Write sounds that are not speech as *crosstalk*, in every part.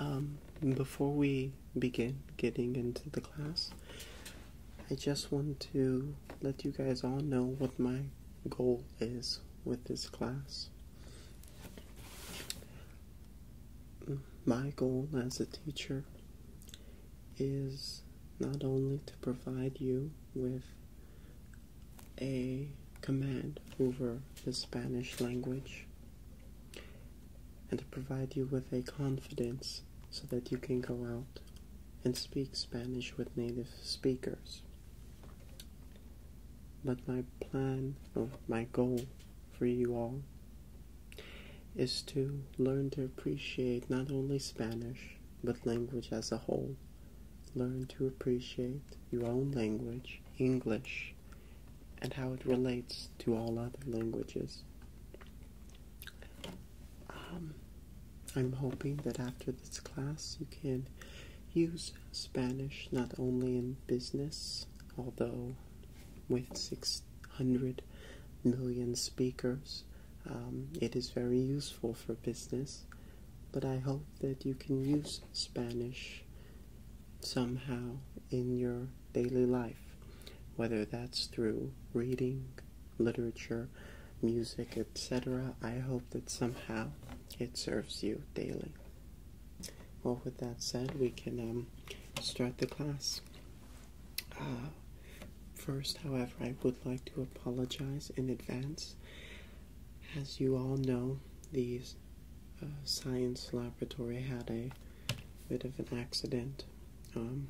Um, before we begin getting into the class, I just want to let you guys all know what my goal is with this class. My goal as a teacher is not only to provide you with a command over the Spanish language and to provide you with a confidence so that you can go out and speak Spanish with native speakers. But my plan, or my goal for you all, is to learn to appreciate not only Spanish but language as a whole Learn to appreciate your own language, English, and how it relates to all other languages. Um, I'm hoping that after this class you can use Spanish not only in business, although with 600 million speakers, um, it is very useful for business, but I hope that you can use Spanish somehow in your daily life, whether that's through reading, literature, music, etc. I hope that somehow it serves you daily. Well, with that said, we can um, start the class. Uh, first, however, I would like to apologize in advance. As you all know, these uh, science laboratory had a bit of an accident. Um,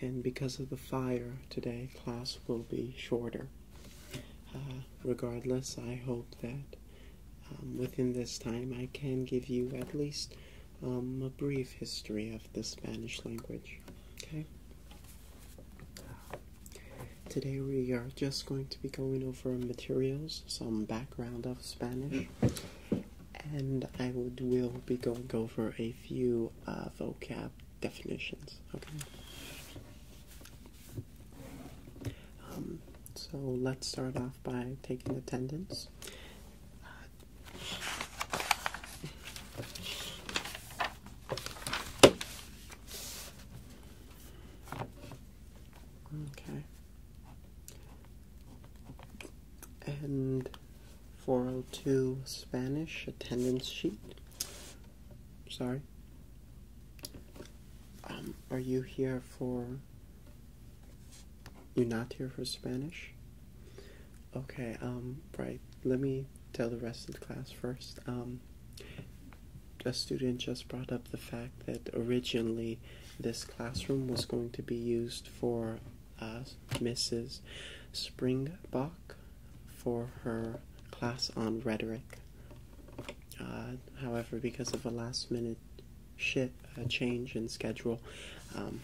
and because of the fire today, class will be shorter. Uh, regardless, I hope that um, within this time I can give you at least um, a brief history of the Spanish language. Okay? Today we are just going to be going over materials, some background of Spanish, and I would will be going over a few uh, vocab definitions. Okay. Um, so let's start off by taking attendance. Okay. And 402 Spanish attendance sheet. Sorry. Um, are you here for. you not here for Spanish? Okay, um, right. Let me tell the rest of the class first. Um, a student just brought up the fact that originally this classroom was going to be used for uh, Mrs. Springbok for her class on rhetoric. Uh, however, because of a last minute shit, uh, change in schedule, um,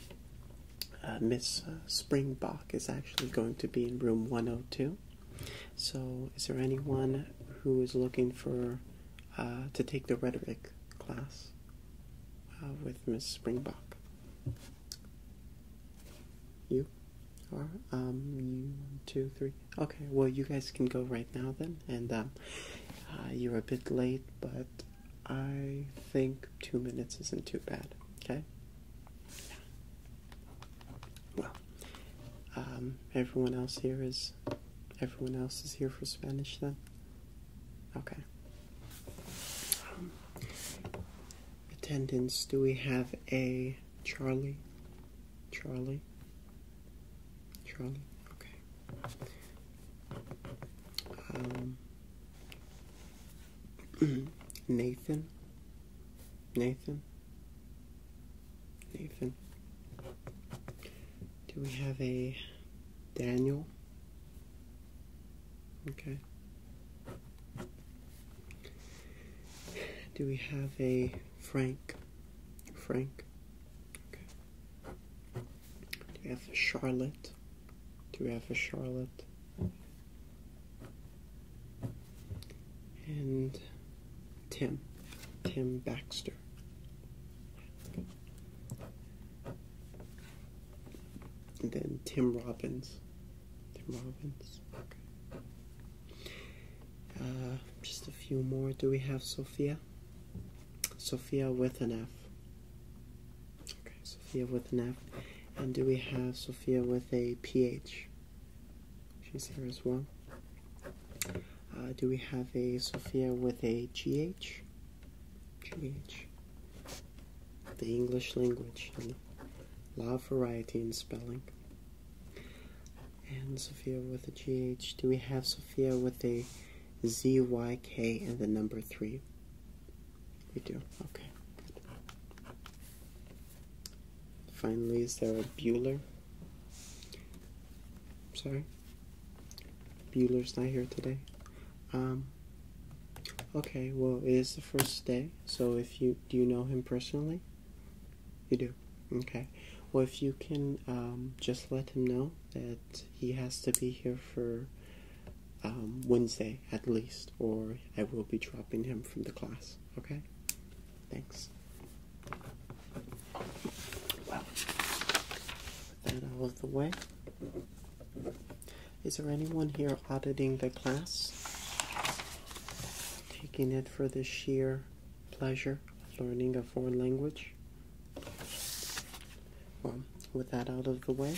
uh, Miss Springbok is actually going to be in room 102. So, is there anyone who is looking for uh, to take the rhetoric class uh, with Ms. Springbok? You are um you two three. Okay, well you guys can go right now then, and um, uh, you're a bit late, but I think two minutes isn't too bad. Okay well, um, everyone else here is, everyone else is here for Spanish then? Okay. Um, attendance, do we have a Charlie? Charlie? Charlie? Okay. Um, *clears throat* Nathan? Nathan? Nathan. Do we have a Daniel? Okay. Do we have a Frank? Frank. Okay. Do we have a Charlotte? Do we have a Charlotte? And Tim. Tim Baxter. And then Tim Robbins. Tim Robbins. Okay. Uh, just a few more. Do we have Sophia? Sophia with an F. Okay, Sophia with an F. And do we have Sophia with a PH? She's here as well. Uh, do we have a Sophia with a GH? GH. The English language and law of variety in spelling. And Sophia with a GH. Do we have Sophia with a ZYK and the number 3? We do. Okay. Finally, is there a Bueller? sorry. Bueller's not here today. Um, okay, well, it is the first day, so if you do you know him personally? You do. Okay. Well, if you can um, just let him know that he has to be here for um, Wednesday at least, or I will be dropping him from the class. Okay? Thanks. Well, with that out of the way, is there anyone here auditing the class? Taking it for the sheer pleasure of learning a foreign language? Well, with that out of the way,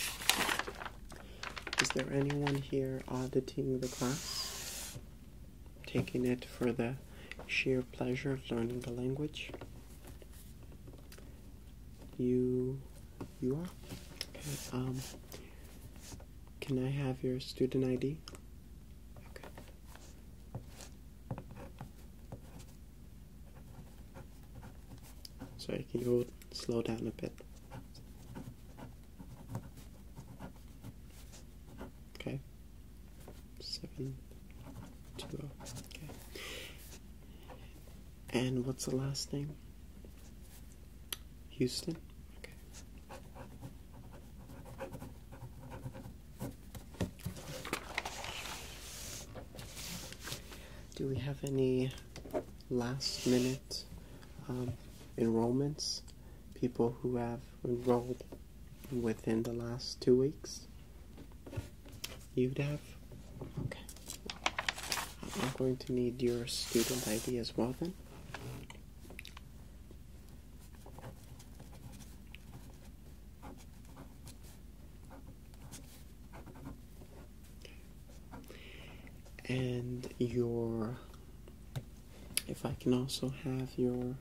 is there anyone here auditing the class? taking it for the sheer pleasure of learning the language. You, you are. Okay. Um, can I have your student ID? Okay. Sorry, can you slow down a bit? Okay. Seven, two, oh, okay. And what's the last name? Houston? Okay. Do we have any last minute um, enrollments? People who have enrolled within the last two weeks? You'd have? Okay. I'm going to need your student ID as well then. And your if I can also have your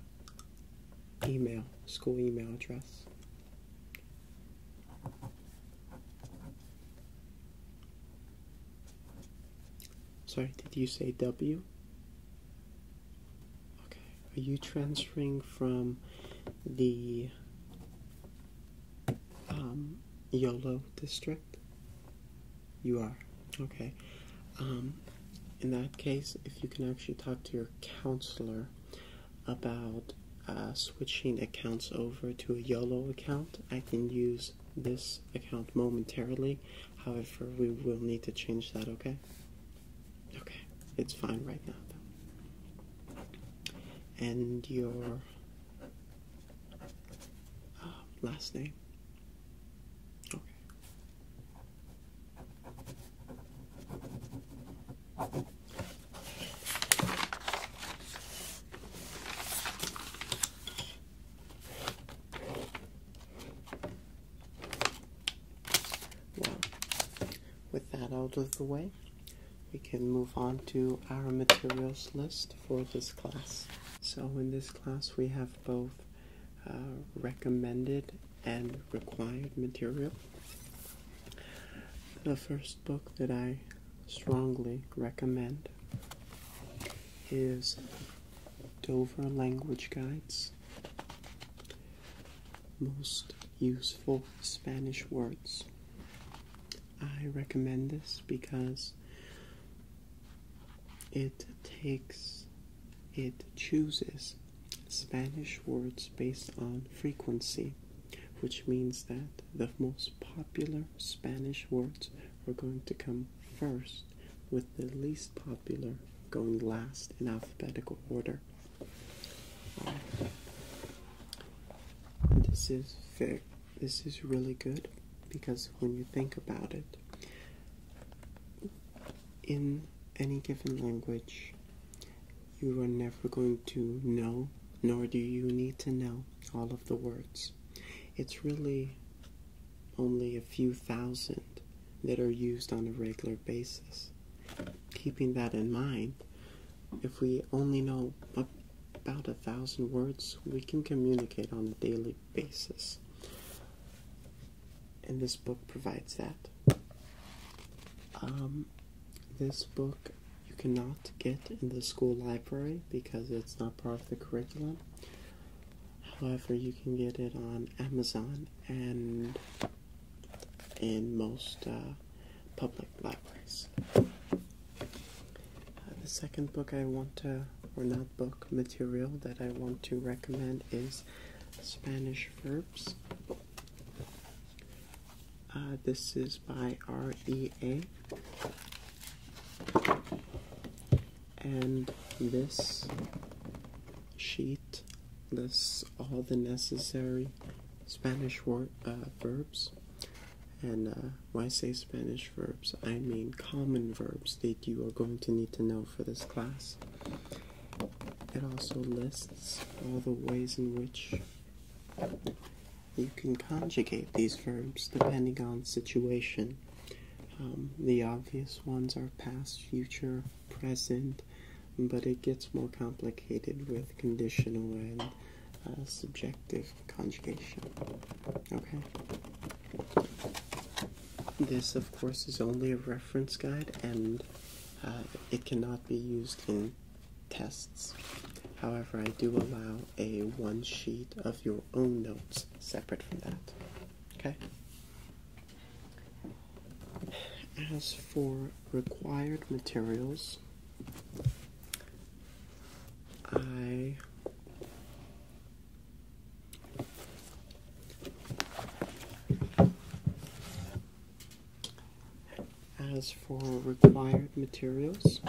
email, school email address. Sorry, did you say W? Okay. Are you transferring from the um, YOLO district? You are. Okay. Um, in that case, if you can actually talk to your counselor about uh, switching accounts over to a YOLO account, I can use this account momentarily. However, we will need to change that, okay? Okay, it's fine right now, And your uh, last name? Okay with that out of the way, we can move on to our materials list for this class. So, in this class, we have both uh, recommended and required material. The first book that I strongly recommend is Dover Language Guides Most Useful Spanish Words. I recommend this because it takes it chooses Spanish words based on frequency, which means that the most popular Spanish words are going to come first, with the least popular going last in alphabetical order. Um, this is very, this is really good because when you think about it, in any given language, you are never going to know, nor do you need to know, all of the words. It's really only a few thousand that are used on a regular basis. Keeping that in mind, if we only know about a thousand words, we can communicate on a daily basis and this book provides that. Um, this book you cannot get in the school library because it's not part of the curriculum. However, you can get it on Amazon and in most uh, public libraries. Uh, the second book I want to, or not book, material that I want to recommend is Spanish Verbs. Uh, this is by REA. And this sheet lists all the necessary Spanish word, uh, verbs. And uh, why say Spanish verbs, I mean common verbs that you are going to need to know for this class. It also lists all the ways in which you can conjugate these verbs depending on situation. Um, the obvious ones are past, future, present, but it gets more complicated with conditional and uh, subjective conjugation. Okay? This, of course, is only a reference guide and uh, it cannot be used in tests. However, I do allow a one sheet of your own notes separate from that. Okay? As for required materials, I as for required materials,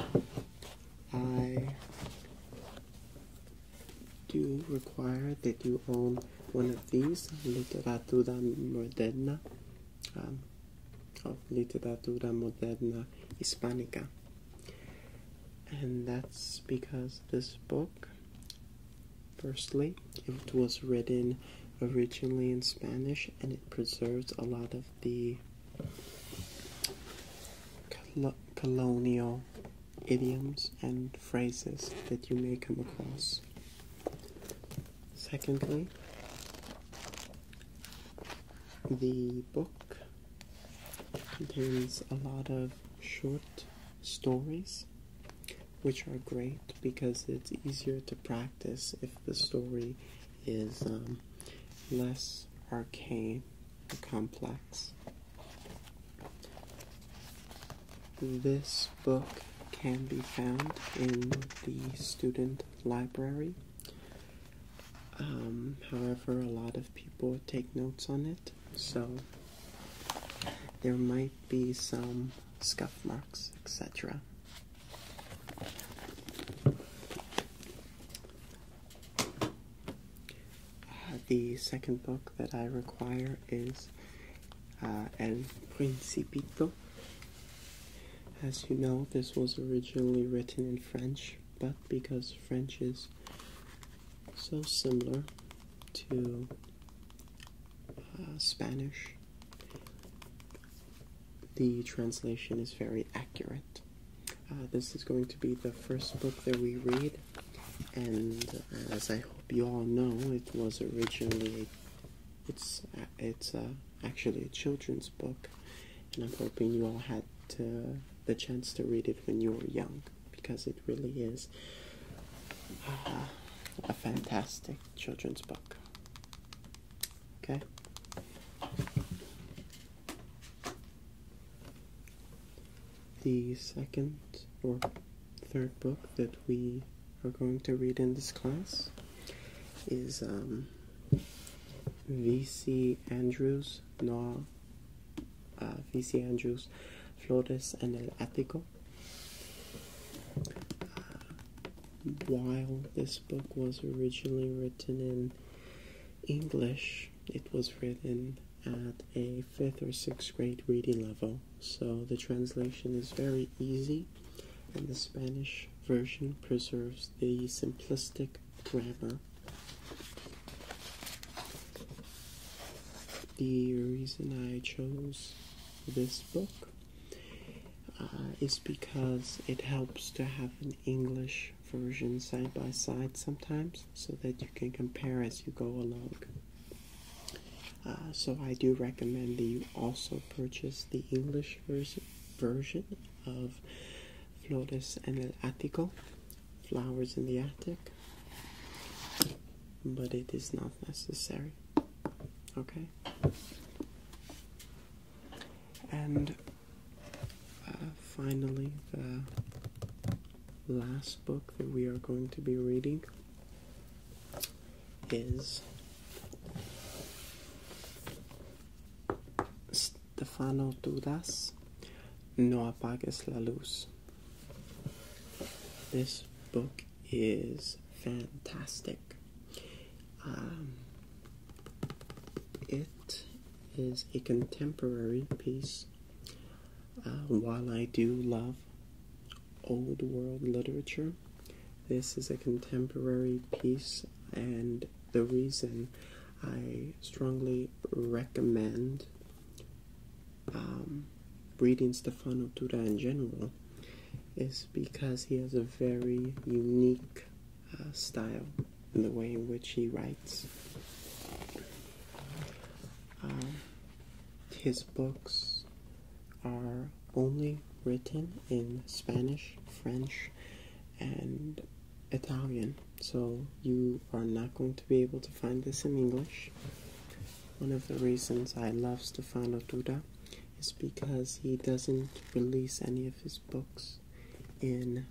I do require that you own one of these, Literatura Moderna, um, Literatura Moderna Hispanica. And that's because this book Firstly, it was written originally in Spanish and it preserves a lot of the colonial idioms and phrases that you may come across. Secondly, the book contains a lot of short stories, which are great because it's easier to practice if the story is um, less arcane or complex. This book can be found in the student library. Um, however, a lot of people take notes on it, so there might be some scuff marks, etc. Uh, the second book that I require is uh, El Principito. As you know, this was originally written in French, but because French is so similar to uh, Spanish. The translation is very accurate. Uh, this is going to be the first book that we read, and uh, as I hope you all know, it was originally it's it's actually a children's book, and I'm hoping you all had the chance to read it when you were young because it really is *sighs* a fantastic children's book. Okay. The second or third book that we are going to read in this class is um, V.C. Andrews, no, uh, V.C. Andrews, Flores en el Ático uh, while this book was originally written in English, it was written at a fifth or sixth grade reading level, so the translation is very easy, and the Spanish version preserves the simplistic grammar. The reason I chose this book uh, is because it helps to have an English version side by side sometimes so that you can compare as you go along. Uh, so I do recommend that you also purchase the English version of Flores en el Ático, Flowers in the Attic, but it is not necessary. Okay. And uh, finally, the last book that we are going to be reading is Stefano Dudas. No apagues la luz. This book is fantastic. Um, it is a contemporary piece. Uh, while I do love old world literature, this is a contemporary piece, and the reason I strongly recommend um, reading Stefano Tura in general is because he has a very unique uh, style in the way in which he writes. Um, his books are only written in Spanish, French, and Italian, so you are not going to be able to find this in English. One of the reasons I love Stefano Duda is because he doesn't release any of his books in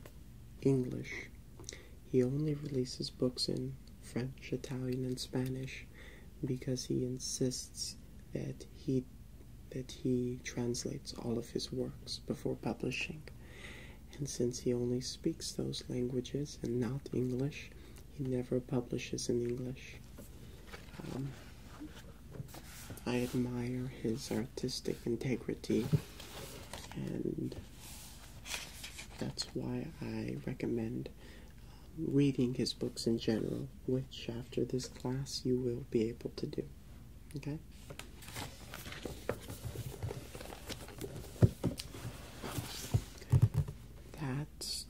English. He only releases books in French, Italian, and Spanish because he insists that he that he translates all of his works before publishing. And since he only speaks those languages and not English, he never publishes in English. Um, I admire his artistic integrity, and that's why I recommend um, reading his books in general, which after this class you will be able to do. Okay?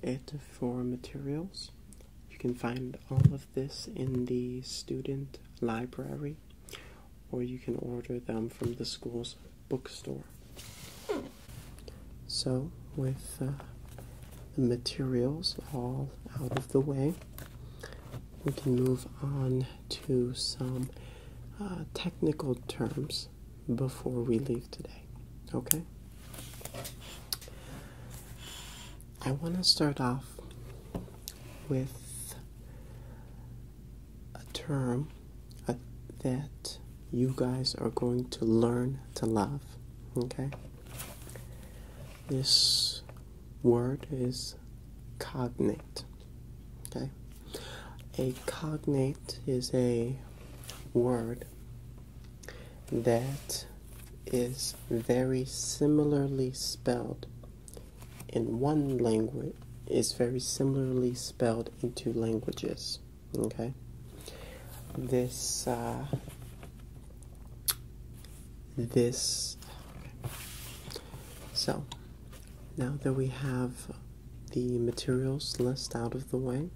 it for materials. You can find all of this in the student library, or you can order them from the school's bookstore. So, with uh, the materials all out of the way, we can move on to some uh, technical terms before we leave today. Okay? I want to start off with a term that you guys are going to learn to love. Okay? This word is cognate. Okay? A cognate is a word that is very similarly spelled in one language is very similarly spelled in two languages. Okay, this uh, this so now that we have the materials list out of the way,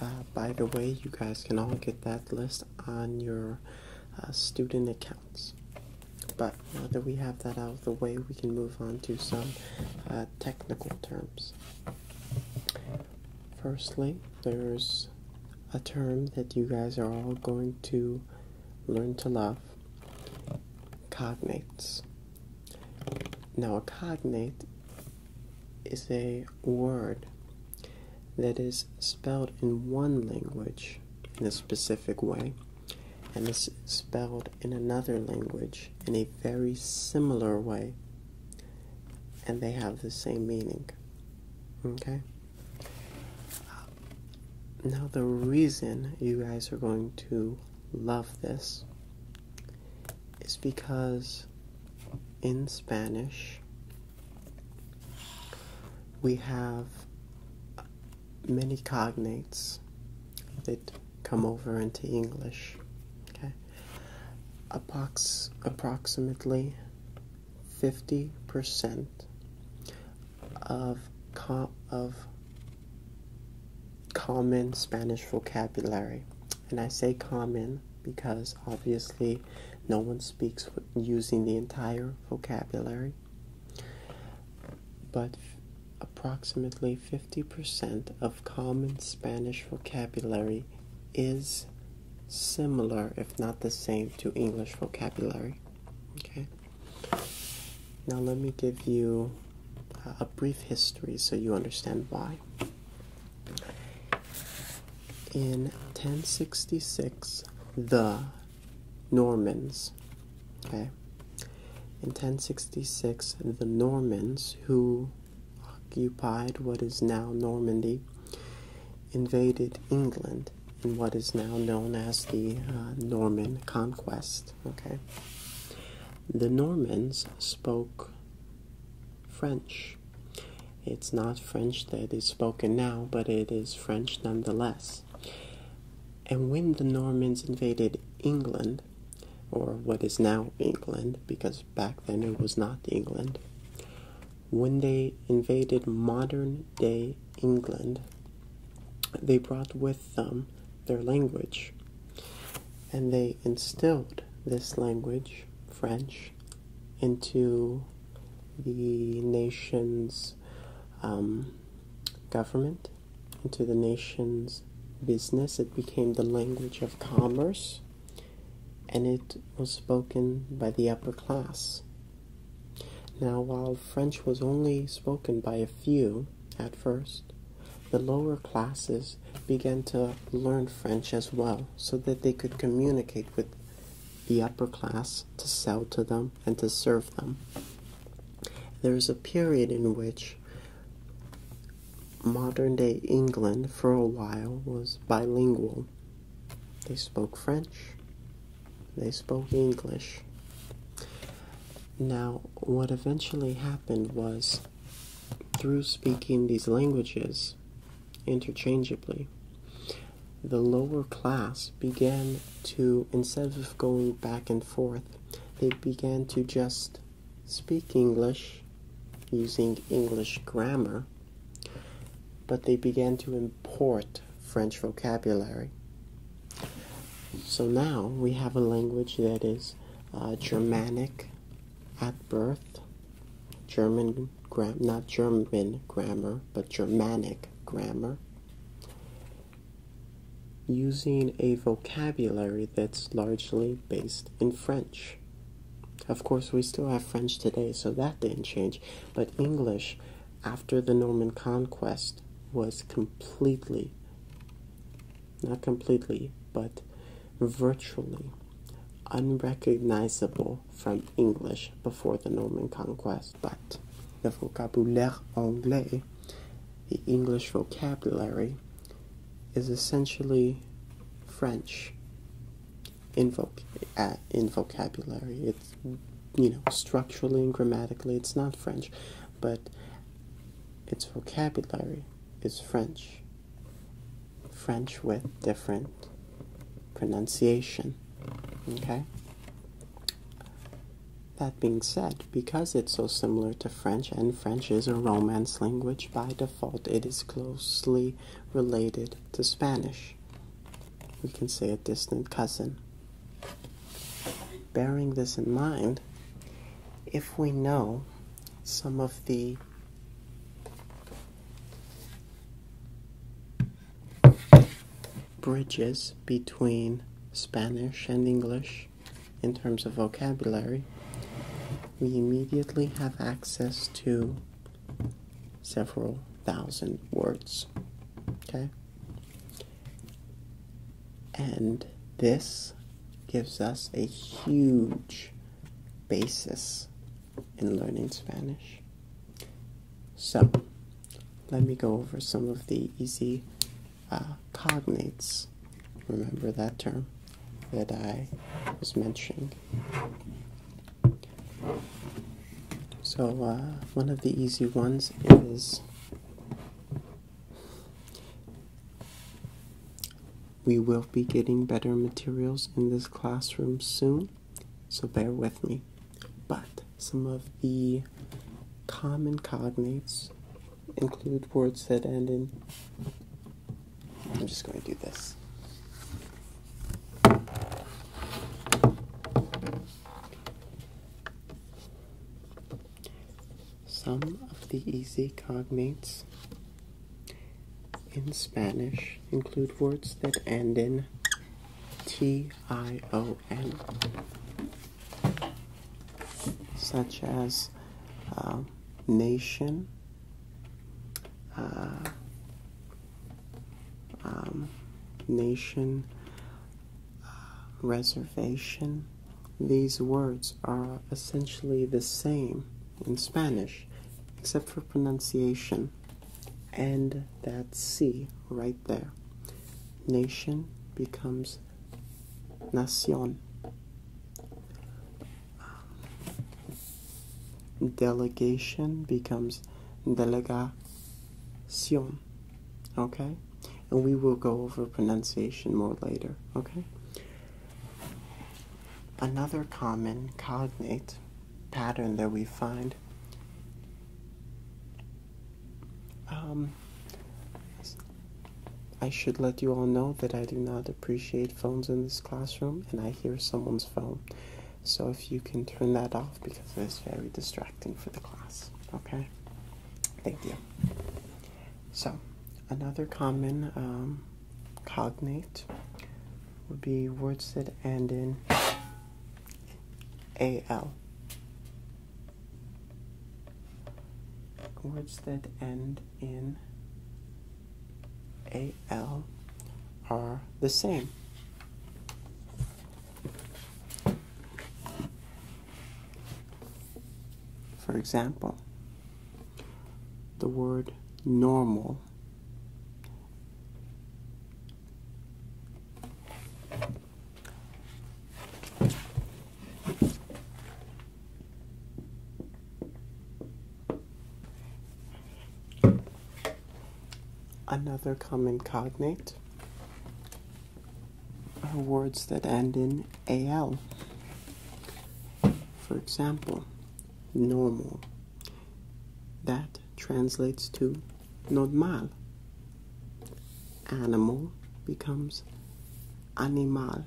uh, by the way, you guys can all get that list on your uh, student accounts. But now that we have that out of the way, we can move on to some uh, technical terms. Firstly, there's a term that you guys are all going to learn to love cognates. Now, cognate is a word that is spelled in one language in a specific way and is spelled in another language in a very similar way and they have the same meaning okay now the reason you guys are going to love this is because in Spanish. We have many cognates that come over into English. Okay, Approx approximately fifty percent of com of common Spanish vocabulary and I say common because obviously no one speaks using the entire vocabulary. But approximately 50% of common Spanish vocabulary is similar, if not the same, to English vocabulary. Okay. Now, let me give you a brief history so you understand why. In 1066, the Normans, okay, in 1066, the Normans, who occupied what is now Normandy, invaded England in what is now known as the uh, Norman Conquest, okay. The Normans spoke French. It's not French that is spoken now, but it is French nonetheless. And when the Normans invaded England, or what is now England, because back then it was not England, when they invaded modern day England, they brought with them their language and they instilled this language, French, into the nation's um, government, into the nation's business. It became the language of commerce and it was spoken by the upper class. Now, while French was only spoken by a few at first, the lower classes began to learn French as well so that they could communicate with the upper class to sell to them and to serve them. There was a period in which modern day England, for a while, was bilingual. They spoke French, they spoke English. Now, what eventually happened was through speaking these languages interchangeably, the lower class began to, instead of going back and forth, they began to just speak English using English grammar, but they began to import French vocabulary. So now we have a language that is uh, Germanic at birth, German, gram not German grammar, but Germanic grammar, using a vocabulary that's largely based in French. Of course, we still have French today, so that didn't change, but English, after the Norman conquest, was completely, not completely, but virtually unrecognizable from English before the Norman conquest, but the vocabulaire anglais, the English vocabulary, is essentially French in, voc- uh, in vocabulary. It's, you know, structurally and grammatically, it's not French, but its vocabulary is French. French with different pronunciation. Okay? That being said, because it's so similar to French, and French is a Romance language by default, it is closely related to Spanish. We can say a distant cousin. Bearing this in mind, if we know some of the bridges between Spanish and English in terms of vocabulary, we immediately have access to several thousand words. Okay? And this gives us a huge basis in learning Spanish. So, let me go over some of the easy uh, cognates. Remember that term that I was mentioning. So, uh, one of the easy ones is we will be getting better materials in this classroom soon, so bear with me. But some of the common cognates include words that end in. I'm just going to do this. Some of the easy cognates in Spanish include words that end in T-I-O-N, such as uh, nation, uh, um, nation, uh, reservation. These words are essentially the same in Spanish, except for pronunciation. And that C right there. Nation becomes nacion. Delegation becomes delegacion. Okay? And we will go over pronunciation more later. Okay? Another common cognate pattern that we find um, I should let you all know that I do not appreciate phones in this classroom and I hear someone's phone. So if you can turn that off because it's very distracting for the class. Okay? Thank you. So, another common um, cognate would be words that end in al. Words that end in al are the same. For example, the word normal Another common cognate are words that end in AL. For example, normal. That translates to normal. Animal becomes animal.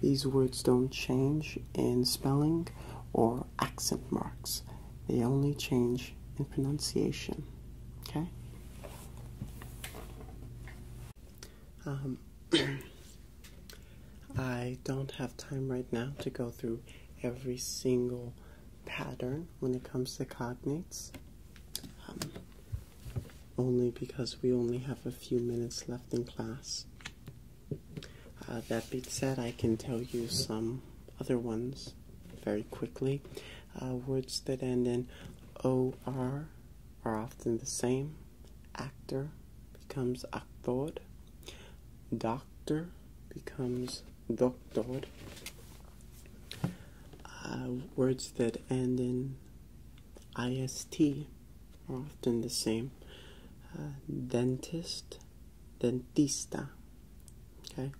These words don't change in spelling or accent marks, they only change in pronunciation. Okay? Um, *clears throat* I don't have time right now to go through every single pattern when it comes to cognates, um, only because we only have a few minutes left in class. Uh, that being said, I can tell you some other ones very quickly. Uh, words that end in OR are often the same. Actor becomes actor. Doctor becomes doctor. Uh, words that end in ist are often the same. Uh, dentist, dentista. Okay.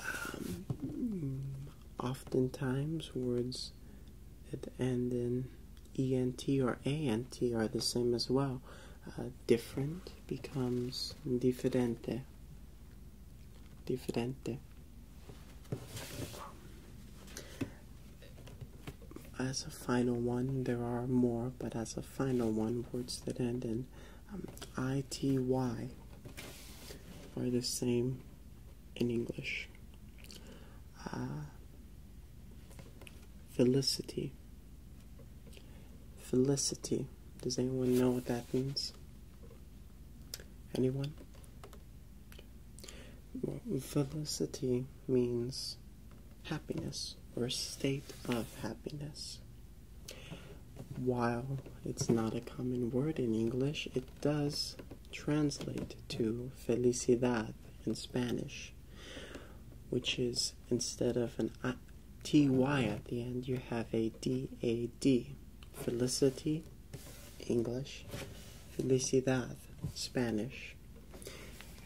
Um, oftentimes words that end in ENT or ANT are the same as well. Uh, different becomes differente. Differente. As a final one, there are more, but as a final one, words that end in um, ity are the same in English. Uh, Felicity. Felicity. Does anyone know what that means? Anyone? Well, felicity means happiness or a state of happiness. While it's not a common word in English, it does translate to felicidad in Spanish which is instead of an ty at the end, you have a d a d. Felicity, English, felicidad, Spanish.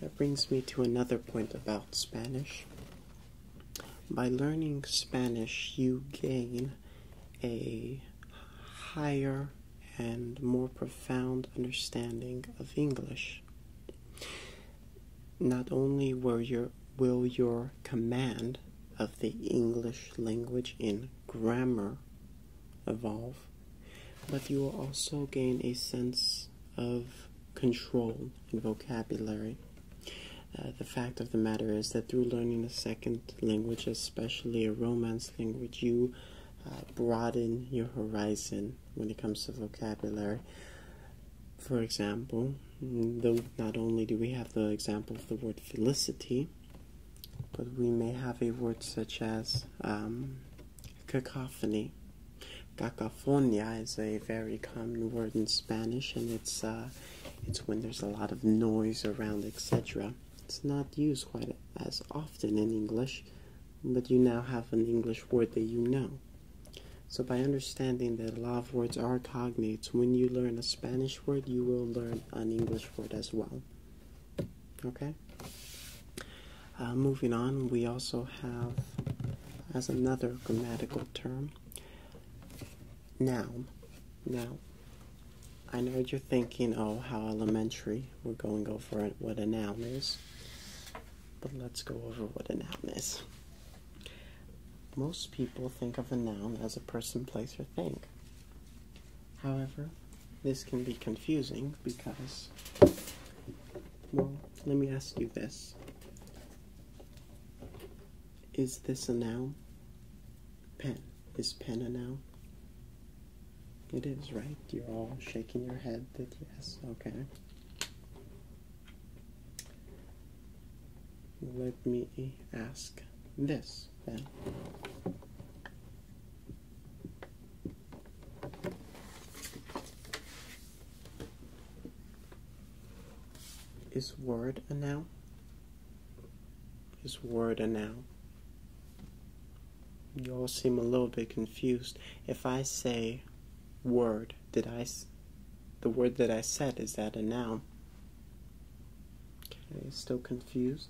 That brings me to another point about Spanish. By learning Spanish, you gain a higher and more profound understanding of English. Not only will your, command of the English language in grammar evolve, but you will also gain a sense of control and vocabulary. Uh, the fact of the matter is that through learning a second language, especially a Romance language, you uh, broaden your horizon when it comes to vocabulary. For example, though not only do we have the example of the word felicity, but we may have a word such as um, cacophony. Cacophonia is a very common word in Spanish, and it's uh, it's when there's a lot of noise around, etc. It's not used quite as often in English, but you now have an English word that you know. So, by understanding that a lot of words are cognates, when you learn a Spanish word, you will learn an English word as well. Okay? Uh, moving on, we also have as another grammatical term noun. Now, I know what you're thinking, oh, how elementary. We're going over what a noun is but let's go over what a noun is. Most people think of a noun as a person, place, or thing. However, this can be confusing because, well, let me ask you this. Is this a noun? Pen. Is pen a noun? It is, right? You're all shaking your head that yes, okay. Let me ask this then. Is word a noun? Is word a noun? You all seem a little bit confused. If I say word, did I the word that I said is that a noun? still confused.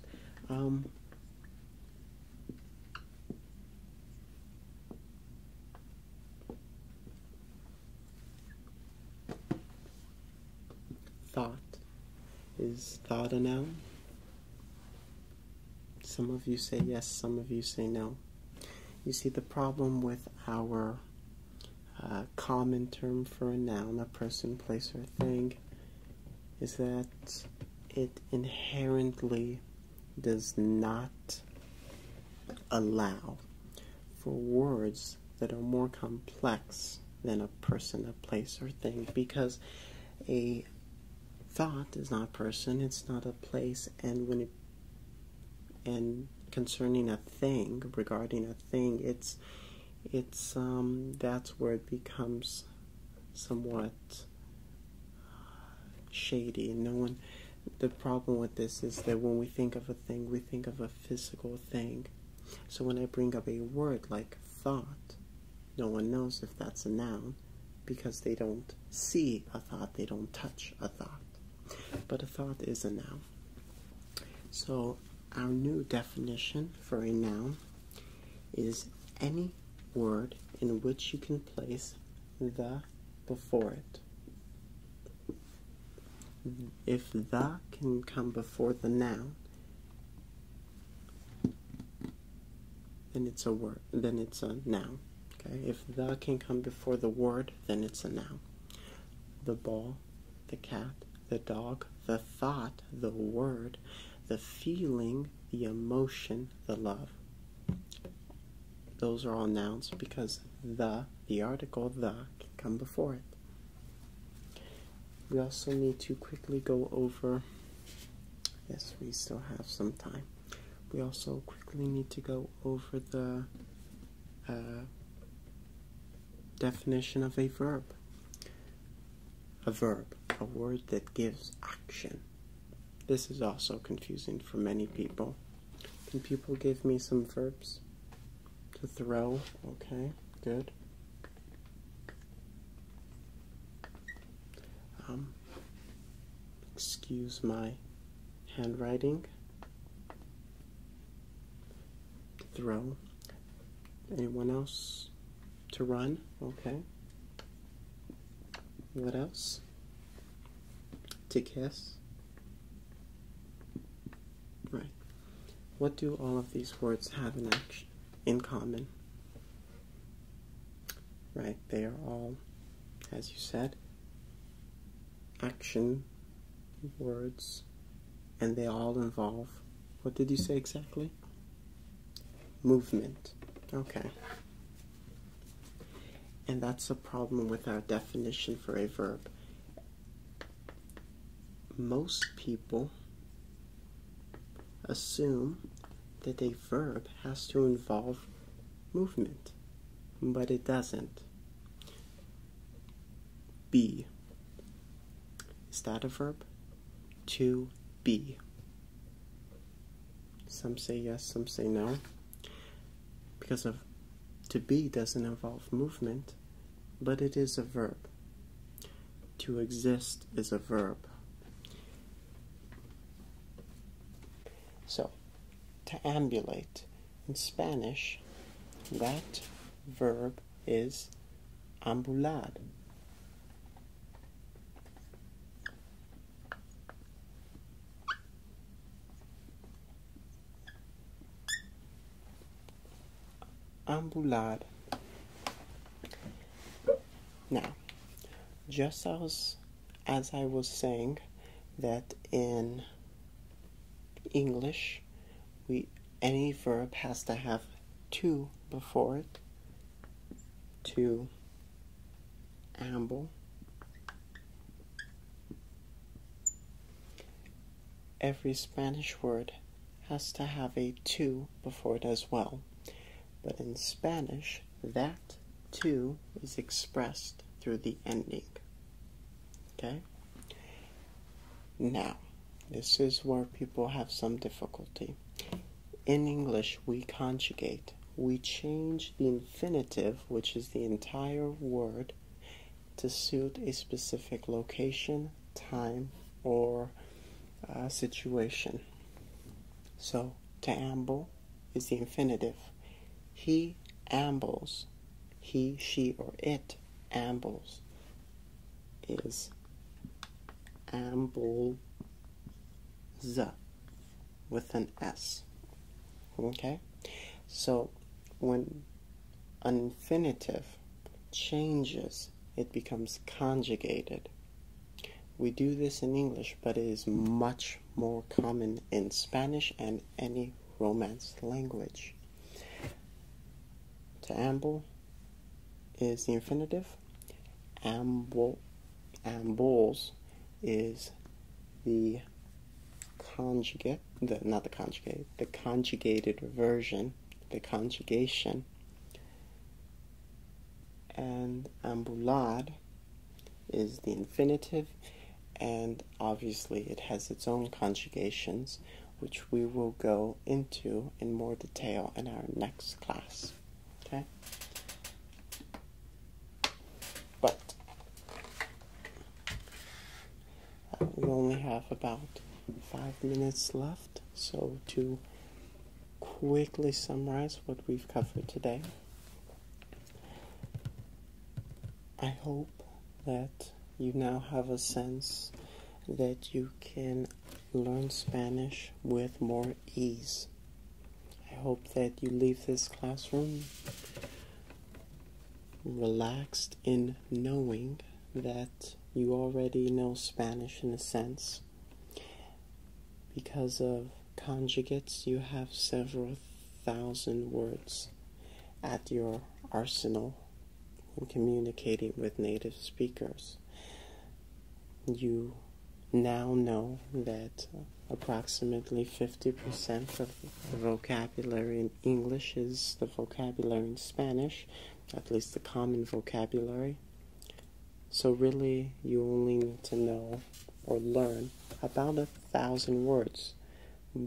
Um, thought is thought a noun? Some of you say yes, some of you say no. You see, the problem with our uh, common term for a noun, a person, place, or thing, is that it inherently does not allow for words that are more complex than a person, a place, or thing because a thought is not a person, it's not a place, and when it and concerning a thing, regarding a thing, it's it's um that's where it becomes somewhat uh, shady and no one the problem with this is that when we think of a thing we think of a physical thing so when i bring up a word like thought no one knows if that's a noun because they don't see a thought, they don't touch a thought. But a thought is a noun. So, our new definition for a noun is any word in which you can place the before it. If the can come before the noun, then it's a word then it's a noun okay if the can come before the word then it's a noun the ball the cat the dog the thought the word the feeling the emotion the love those are all nouns because the the article the can come before it we also need to quickly go over yes we still have some time we also quickly need to go over the uh, definition of a verb. A verb, a word that gives action. This is also confusing for many people. Can people give me some verbs to throw? Okay, good. Um, excuse my handwriting. Throw. Anyone else to run? Okay. What else? To kiss? Right. What do all of these words have in action in common? Right, they are all, as you said, action words, and they all involve what did you say exactly? Movement. Okay. And that's a problem with our definition for a verb. Most people assume that they verb has to involve movement, but it doesn't. Be. Is that a verb? To be. Some say yes, some say no. Because of to be doesn't involve movement, but it is a verb. To exist is a verb. So, to ambulate in Spanish, that verb is ambular. Ambular. Now, just as as I was saying, that in English, we any verb has to have to before it. To amble. Every Spanish word has to have a to before it as well. But in Spanish, that too is expressed through the ending. Okay? Now, this is where people have some difficulty. In English, we conjugate. We change the infinitive, which is the entire word, to suit a specific location, time, or uh, situation. So, to amble is the infinitive. He ambles. He, she, or it ambles is ambles with an S. Okay? So when an infinitive changes, it becomes conjugated. We do this in English, but it is much more common in Spanish and any Romance language. To amble is the infinitive. Amble, ambles is the conjugate, the, not the conjugate, the conjugated version, the conjugation. And ambulad is the infinitive, and obviously it has its own conjugations, which we will go into in more detail in our next class. Okay? But uh, we only have about five minutes left, so to quickly summarize what we've covered today. I hope that you now have a sense that you can learn Spanish with more ease. I hope that you leave this classroom relaxed in knowing that you already know Spanish in a sense because of conjugates, you have several thousand words at your arsenal in communicating with native speakers. You now know that approximately 50% of the vocabulary in English is the vocabulary in Spanish, at least the common vocabulary. So, really, you only need to know or learn about a thousand words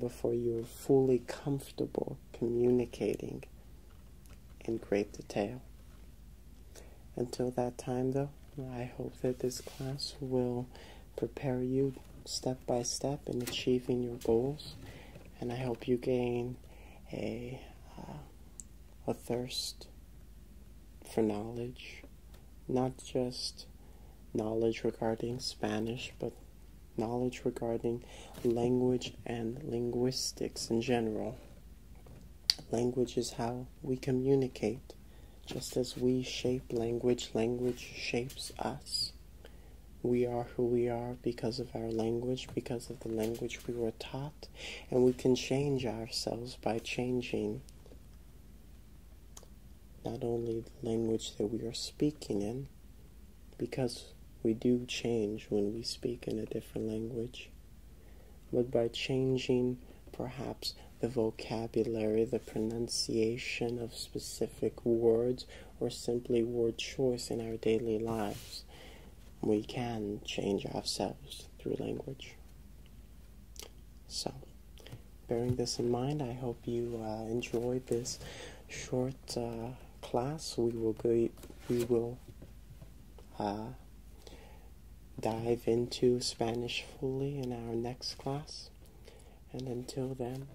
before you're fully comfortable communicating in great detail. Until that time, though, I hope that this class will prepare you step by step in achieving your goals, and I hope you gain a, uh, a thirst for knowledge not just knowledge regarding Spanish, but knowledge regarding language and linguistics in general. Language is how we communicate. Just as we shape language, language shapes us. We are who we are because of our language, because of the language we were taught, and we can change ourselves by changing not only the language that we are speaking in, because we do change when we speak in a different language, but by changing perhaps the vocabulary, the pronunciation of specific words, or simply word choice in our daily lives, we can change ourselves through language. So, bearing this in mind, I hope you uh, enjoyed this short uh, class. We will go. We will uh, dive into Spanish fully in our next class. And until then,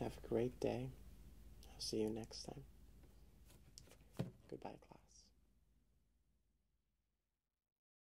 have a great day. I'll see you next time. Goodbye, class.